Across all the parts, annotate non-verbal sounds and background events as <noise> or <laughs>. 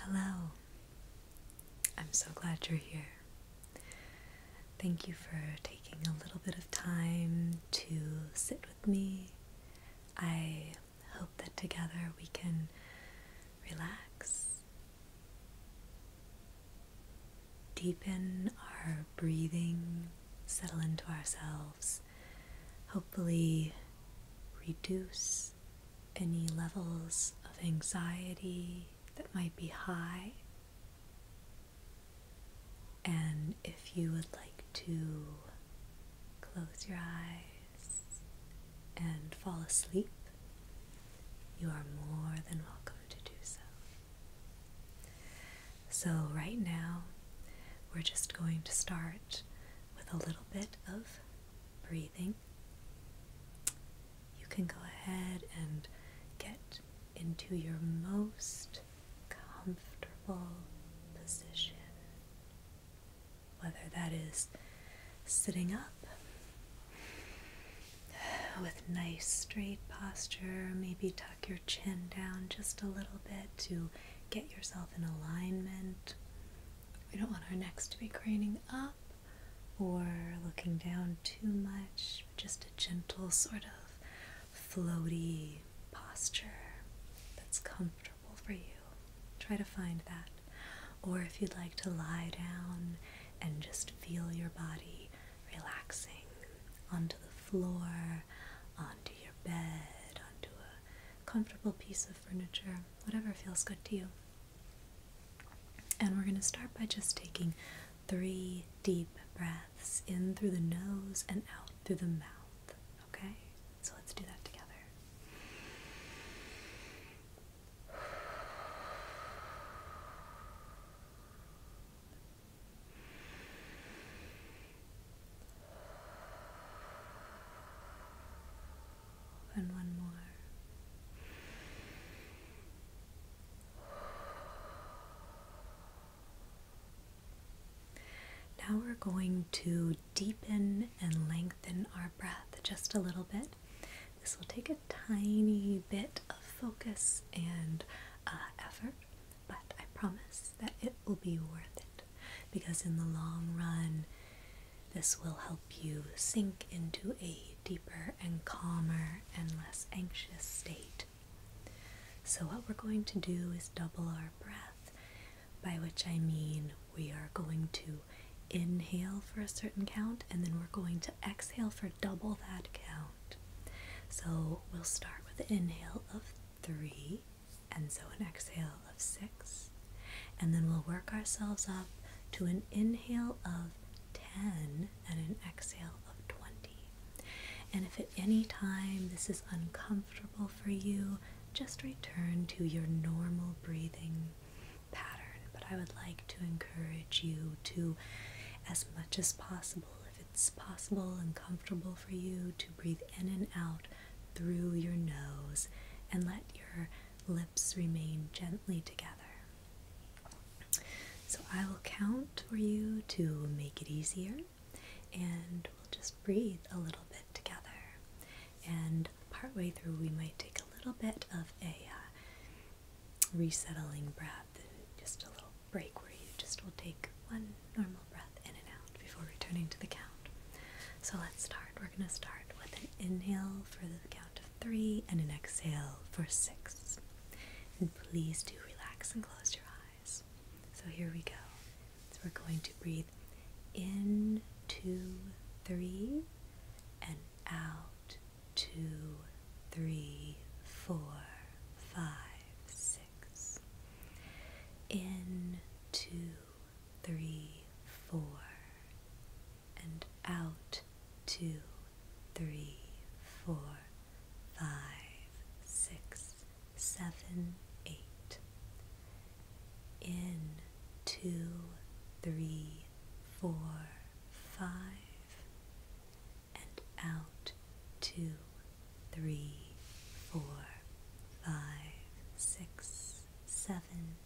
Hello. I'm so glad you're here. Thank you for taking a little bit of time to sit with me. I hope that together we can relax deepen our breathing, settle into ourselves, hopefully reduce any levels of anxiety that might be high. And if you would like to close your eyes and fall asleep, you are more than welcome to do so. So, right now, we're just going to start with a little bit of breathing. You can go ahead and get into your most comfortable position, whether that is sitting up with nice straight posture, maybe your chin down just a little bit to get yourself in alignment. We don't want our necks to be craning up or looking down too much, just a gentle sort of floaty posture that's comfortable for you. Try to find that. Or if you'd like to lie down and just feel your body relaxing onto the floor, onto your bed, onto a comfortable piece of furniture, whatever feels good to you. And we're going to start by just taking three deep breaths in through the nose and out through the mouth. Okay? So let's do that together. And one more. Now we're going to deepen and lengthen our breath just a little bit. This will take a tiny bit of focus and uh, effort, but I promise that it will be worth it because in the long run, this will help you sink into a deeper and calmer and less anxious state. So, what we're going to do is double our breath, by which I mean we are going to inhale for a certain count and then we're going to exhale for double that count. So we'll start with an inhale of three, and so an exhale of six, and then we'll work ourselves up to an inhale of 10 and an exhale of 20. And if at any time this is uncomfortable for you, just return to your normal breathing pattern. But I would like to encourage you to, as much as possible, if it's possible and comfortable for you to breathe in and out through your nose and let your lips remain gently together. So I will count for you to make it easier and we'll just breathe a little bit together. And partway through, we might take a little bit of a uh, resettling breath, just a little break where you just will take one normal breath in and out before returning to the count. So let's start. We're going to start with an inhale for the count of three and an exhale for six. And please do relax and close your eyes. So here we go. So we're going to breathe in two, three, and out two, three, four, five, six six. In, two, three, four. And out, two, three, four, five, six, seven, eight. In, two, three, four, five and out. Two, three, four, five, six, seven,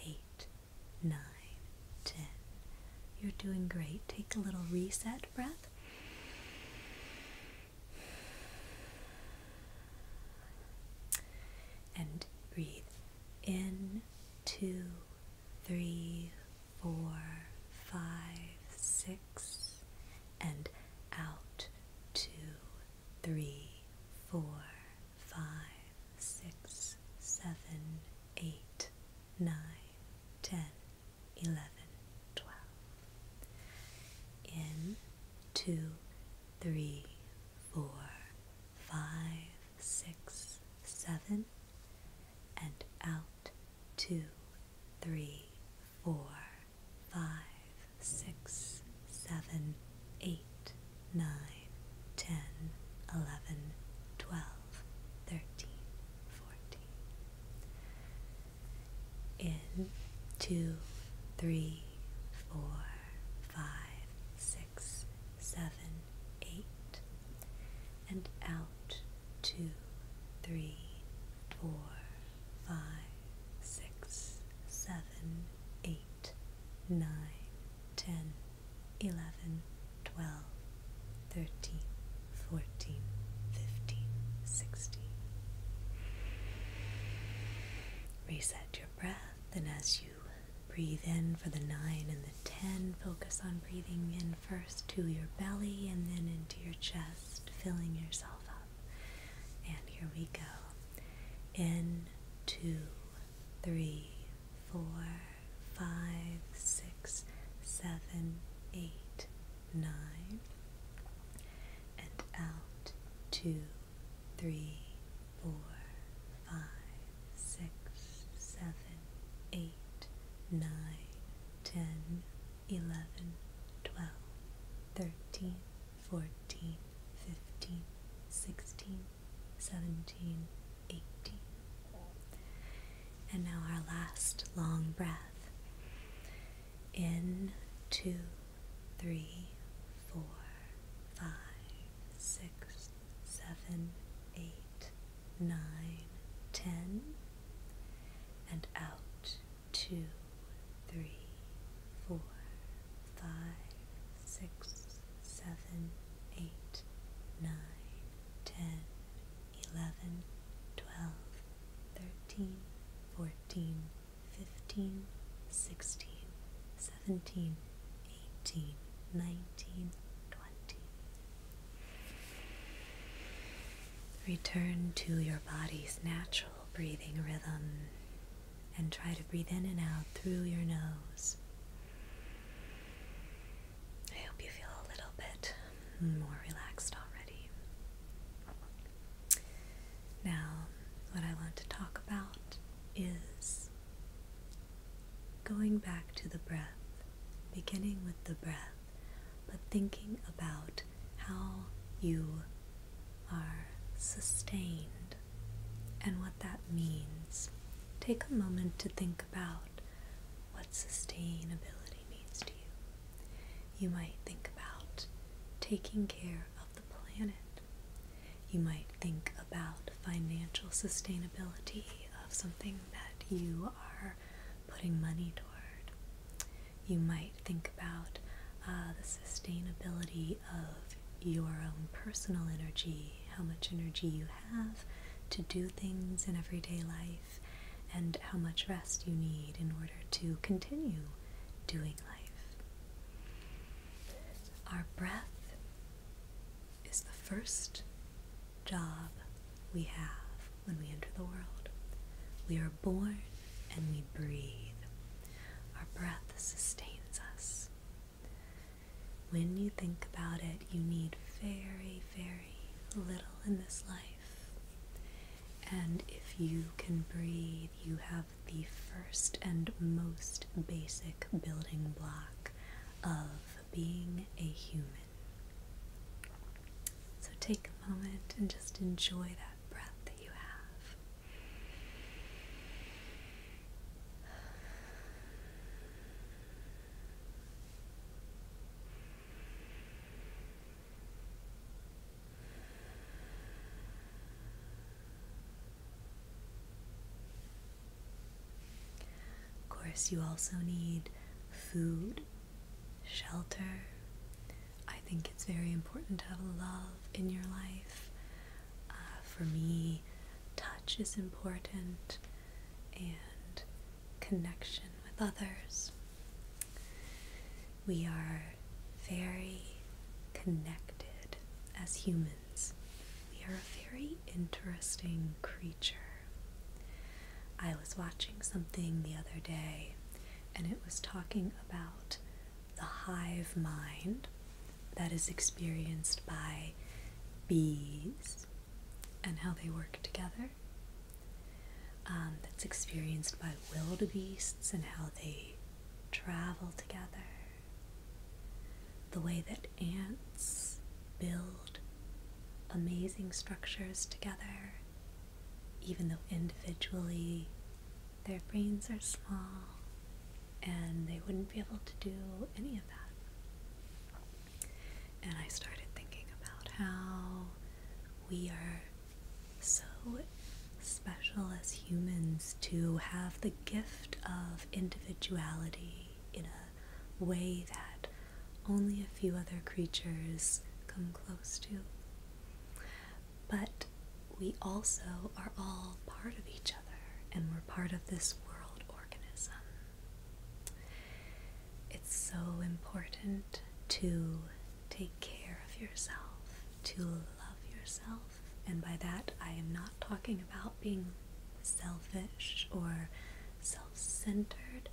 eight, nine, ten. You're doing great. Take a little reset breath. And breathe in two, three, four, five, six, and out two, three, four, five, six, seven, eight, nine, ten, eleven, twelve. In two, three, four, five, six, seven, and out two, three, four, five, six, seven, eight, nine, ten, eleven, twelve, thirteen, fourteen. In two, three, four, five, six, seven, eight, and out two, three, four, five, six, seven, eight, nine, ten, eleven, twelve, thirteen, fourteen, fifteen, sixteen. Reset your breath, and as you breathe in for the nine and the ten, focus on breathing in first to your belly and then into your chest, filling yourself and here we go. In two, three, four, five, six, seven, eight, nine. And out two, three, four, five, six, seven, eight, nine, ten, 11, 12, 13, 14, 15, 16, 17, 18. And now our last long breath. In, two, three, four, five, six, seven, eight, nine, ten, and out two, three, four, five, six, seven, eight, nine, ten, eleven, twelve, thirteen, fourteen, fifteen, sixteen, seventeen, eighteen, nineteen, twenty. Return to your body's natural breathing rhythm and try to breathe in and out through your nose. I hope you feel a little bit more relaxed already. Now, what I want to talk about is going back to the breath, beginning with the breath but thinking about how you are sustained and what that means. Take a moment to think about what sustainability means to you. You might think about taking care of the planet. You might think about financial sustainability of something that you are putting money toward. You might think about uh, the sustainability of your own personal energy, how much energy you have to do things in everyday life, and how much rest you need in order to continue doing life. Our breath is the first job we have when we enter the world. We are born and we breathe. Our breath sustains us. When you think about it, you need very, very little in this life. And if you can breathe, you have the first and most basic building block of being a human. So take a moment and just enjoy that breath that you have. Of course, you also need food shelter. I think it's very important to have love in your life. Uh, for me, touch is important and connection with others. We are very connected as humans. We are a very interesting creature. I was watching something the other day and it was talking about the hive mind that is experienced by bees and how they work together. Um, that's experienced by wildebeests and how they travel together. The way that ants build amazing structures together even though individually their brains are small and they wouldn't be able to do any of that. And I started thinking about how we are so special as humans to have the gift of individuality in a way that only a few other creatures come close to. But we also are all part of each other and we're part of this world organism. It's so important to take care of yourself, to love yourself, and by that I am not talking about being selfish or self centered,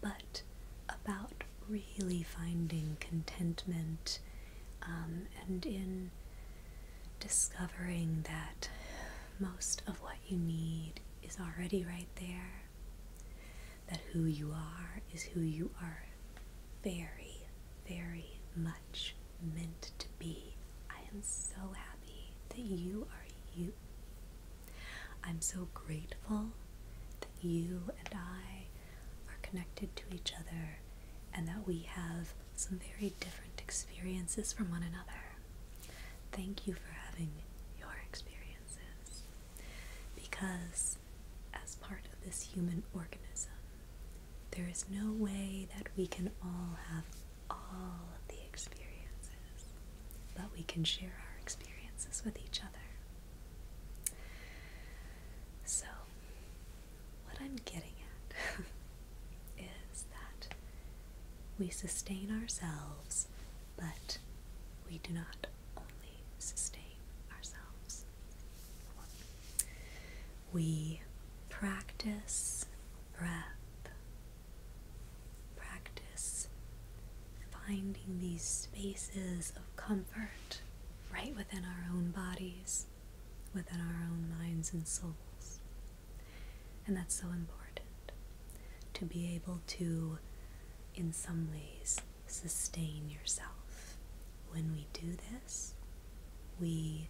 but about really finding contentment um, and in discovering that most of what you need is already right there, that who you are is who you are very, very much meant to be. I am so happy that you are you. I'm so grateful that you and I are connected to each other and that we have some very different experiences from one another. Thank you for having your experiences because, as part of this human organism, there is no way that we can all have all of the experiences, but we can share our experiences with each other. So, what I'm getting at <laughs> is that we sustain ourselves, but we do not only sustain ourselves. We practice breath, practice finding these spaces of comfort right within our own bodies, within our own minds and souls. And that's so important to be able to, in some ways, sustain yourself. When we do this, we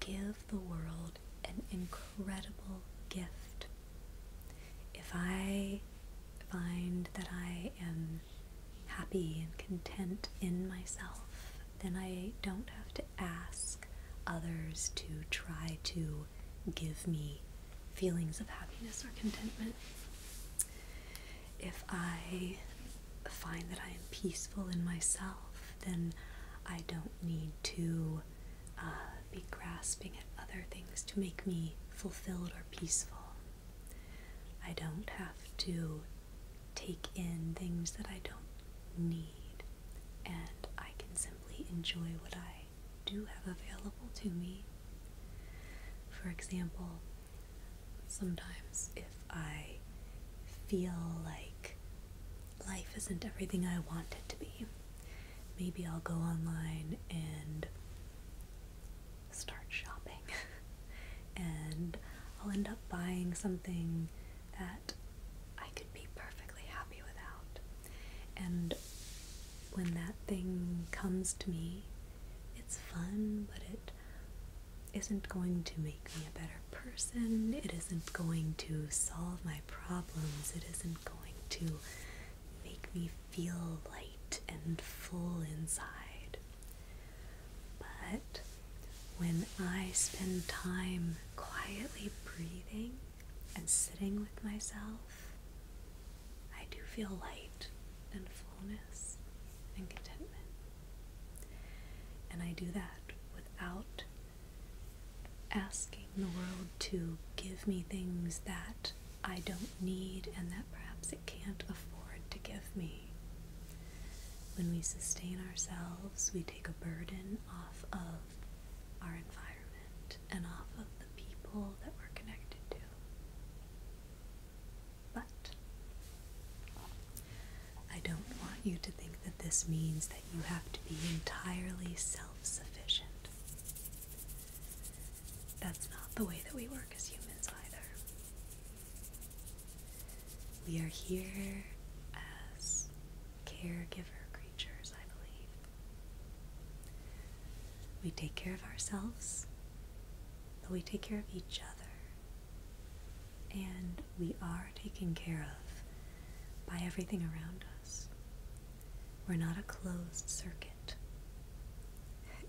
give the world an incredible gift if I find that I am happy and content in myself, then I don't have to ask others to try to give me feelings of happiness or contentment. If I find that I am peaceful in myself, then I don't need to uh, be grasping at other things to make me fulfilled or peaceful. I don't have to take in things that I don't need, and I can simply enjoy what I do have available to me. For example, sometimes if I feel like life isn't everything I want it to be, maybe I'll go online and start shopping <laughs> and I'll end up buying something that I could be perfectly happy without. And when that thing comes to me, it's fun, but it isn't going to make me a better person. It isn't going to solve my problems. It isn't going to make me feel light and full inside. But when I spend time quietly breathing and sitting with myself, I do feel light and fullness and contentment. And I do that without asking the world to give me things that I don't need and that perhaps can't afford to give me. When we sustain ourselves, we take a burden off of our environment and off of the people that we're connected to. But I don't want you to think that this means that you have to be entirely self sufficient. That's not the way that we work as humans either. We are here as caregiver creatures, I believe. We take care of ourselves, but we take care of each other. And we are taken care of by everything around us. We're not a closed circuit.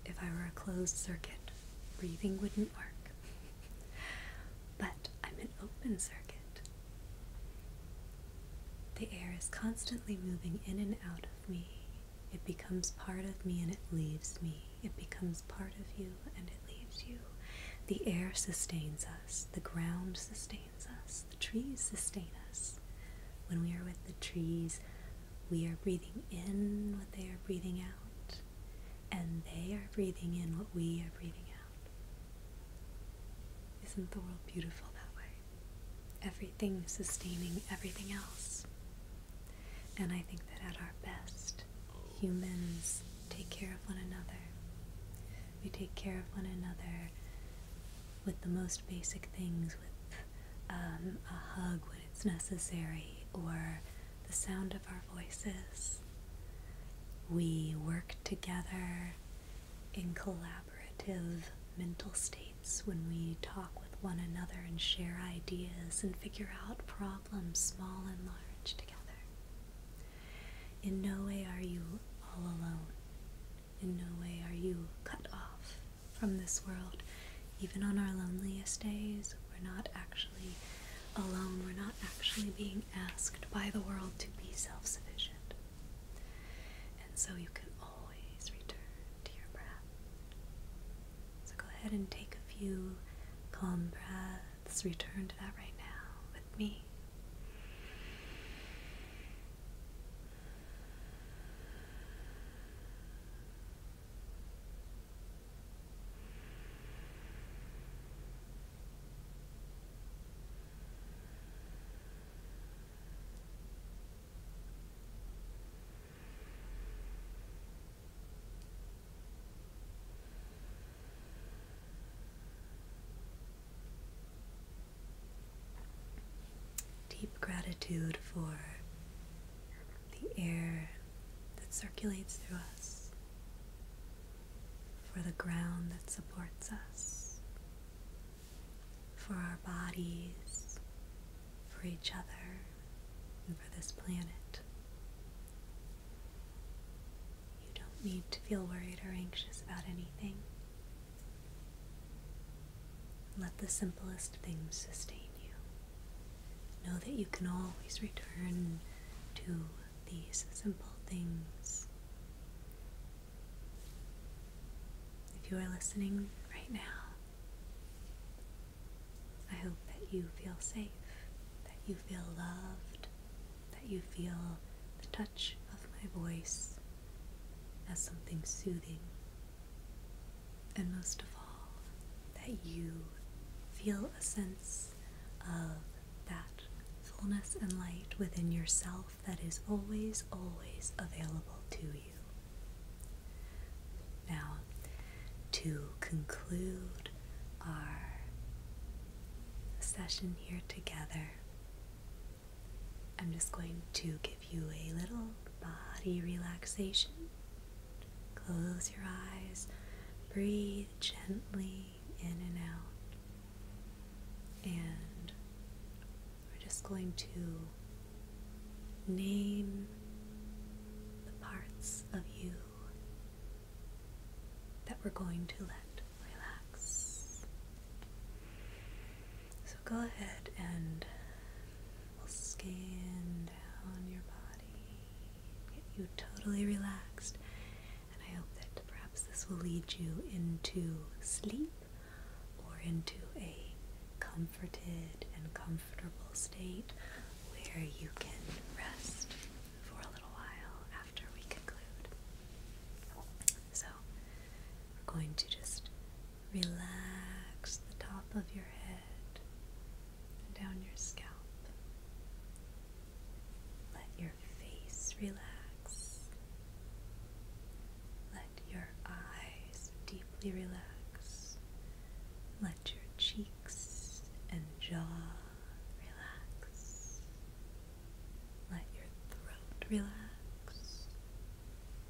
If I were a closed circuit, breathing wouldn't work. <laughs> but I'm an open circuit. The air is constantly moving in and out of me. It becomes part of me and it leaves me. It becomes part of you and it leaves you. The air sustains us. The ground sustains us. The trees sustain us. When we are with the trees, we are breathing in what they are breathing out, and they are breathing in what we are breathing out. Isn't the world beautiful that way? Everything sustaining everything else. And I think that at our best, humans take care of one another. We take care of one another with the most basic things, with um, a hug when it's necessary, or the sound of our voices. We work together in collaborative mental states when we talk with one another and share ideas and figure out problems, small and large, together. In no way are you all alone. In no way are you cut off from this world. Even on our loneliest days, we're not actually alone, we're not actually being asked by the world to be self sufficient. And so you can always return to your breath. So go ahead and take a few calm breaths, return to that right now with me. Deep gratitude for the air that circulates through us, for the ground that supports us, for our bodies, for each other, and for this planet. You don't need to feel worried or anxious about anything. Let the simplest things sustain you. Know that you can always return to these simple things. If you are listening right now, I hope that you feel safe, that you feel loved, that you feel the touch of my voice as something soothing and most of all, that you feel a sense of that fullness and light within yourself that is always, always available to you. Now, to conclude our session here together, I'm just going to give give you a little body relaxation. Close your eyes, breathe gently in and out, and we're just going to name the parts of you that we're going to let relax. So go ahead and we will scan down your body, get you totally relaxed. And I hope that perhaps this will lead you into sleep or into a comforted and comfortable state where you can rest for a little while after we conclude. So, we're going to just Relax the top of your head and down your scalp. Let your face relax. Let your eyes deeply relax. Let your cheeks and jaw relax. Let your throat relax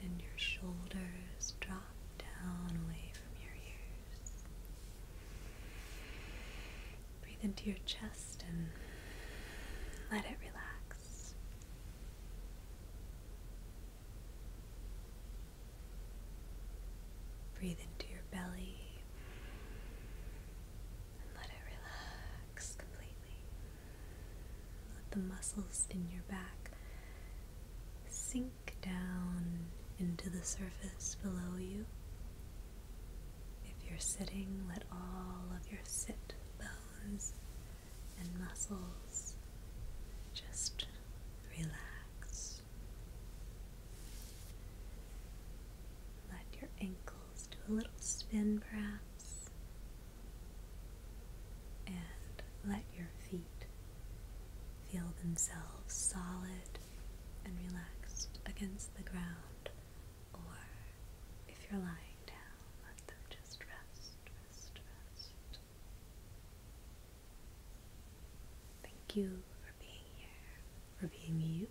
and your shoulders drop down away from your ears. Breathe into your chest and let it relax. Breathe into your belly and let it relax completely. Let the muscles in your back sink down into the surface below you. If you're sitting, let all of your sit bones and muscles just relax. Let your ankles do a little spin perhaps. And let your feet feel themselves solid and relaxed against the ground, or if you're lying down, let them just rest, rest, rest. Thank you for being here, for being you,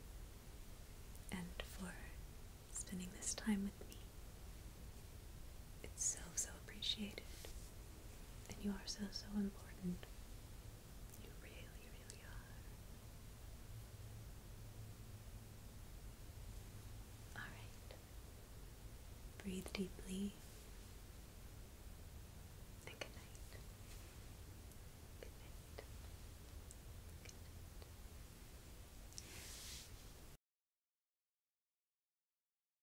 and for spending this time with me. It's so, so appreciated. And you are so, so important. You really, really are. Alright. Breathe deeply. And good night. Good night. Good night.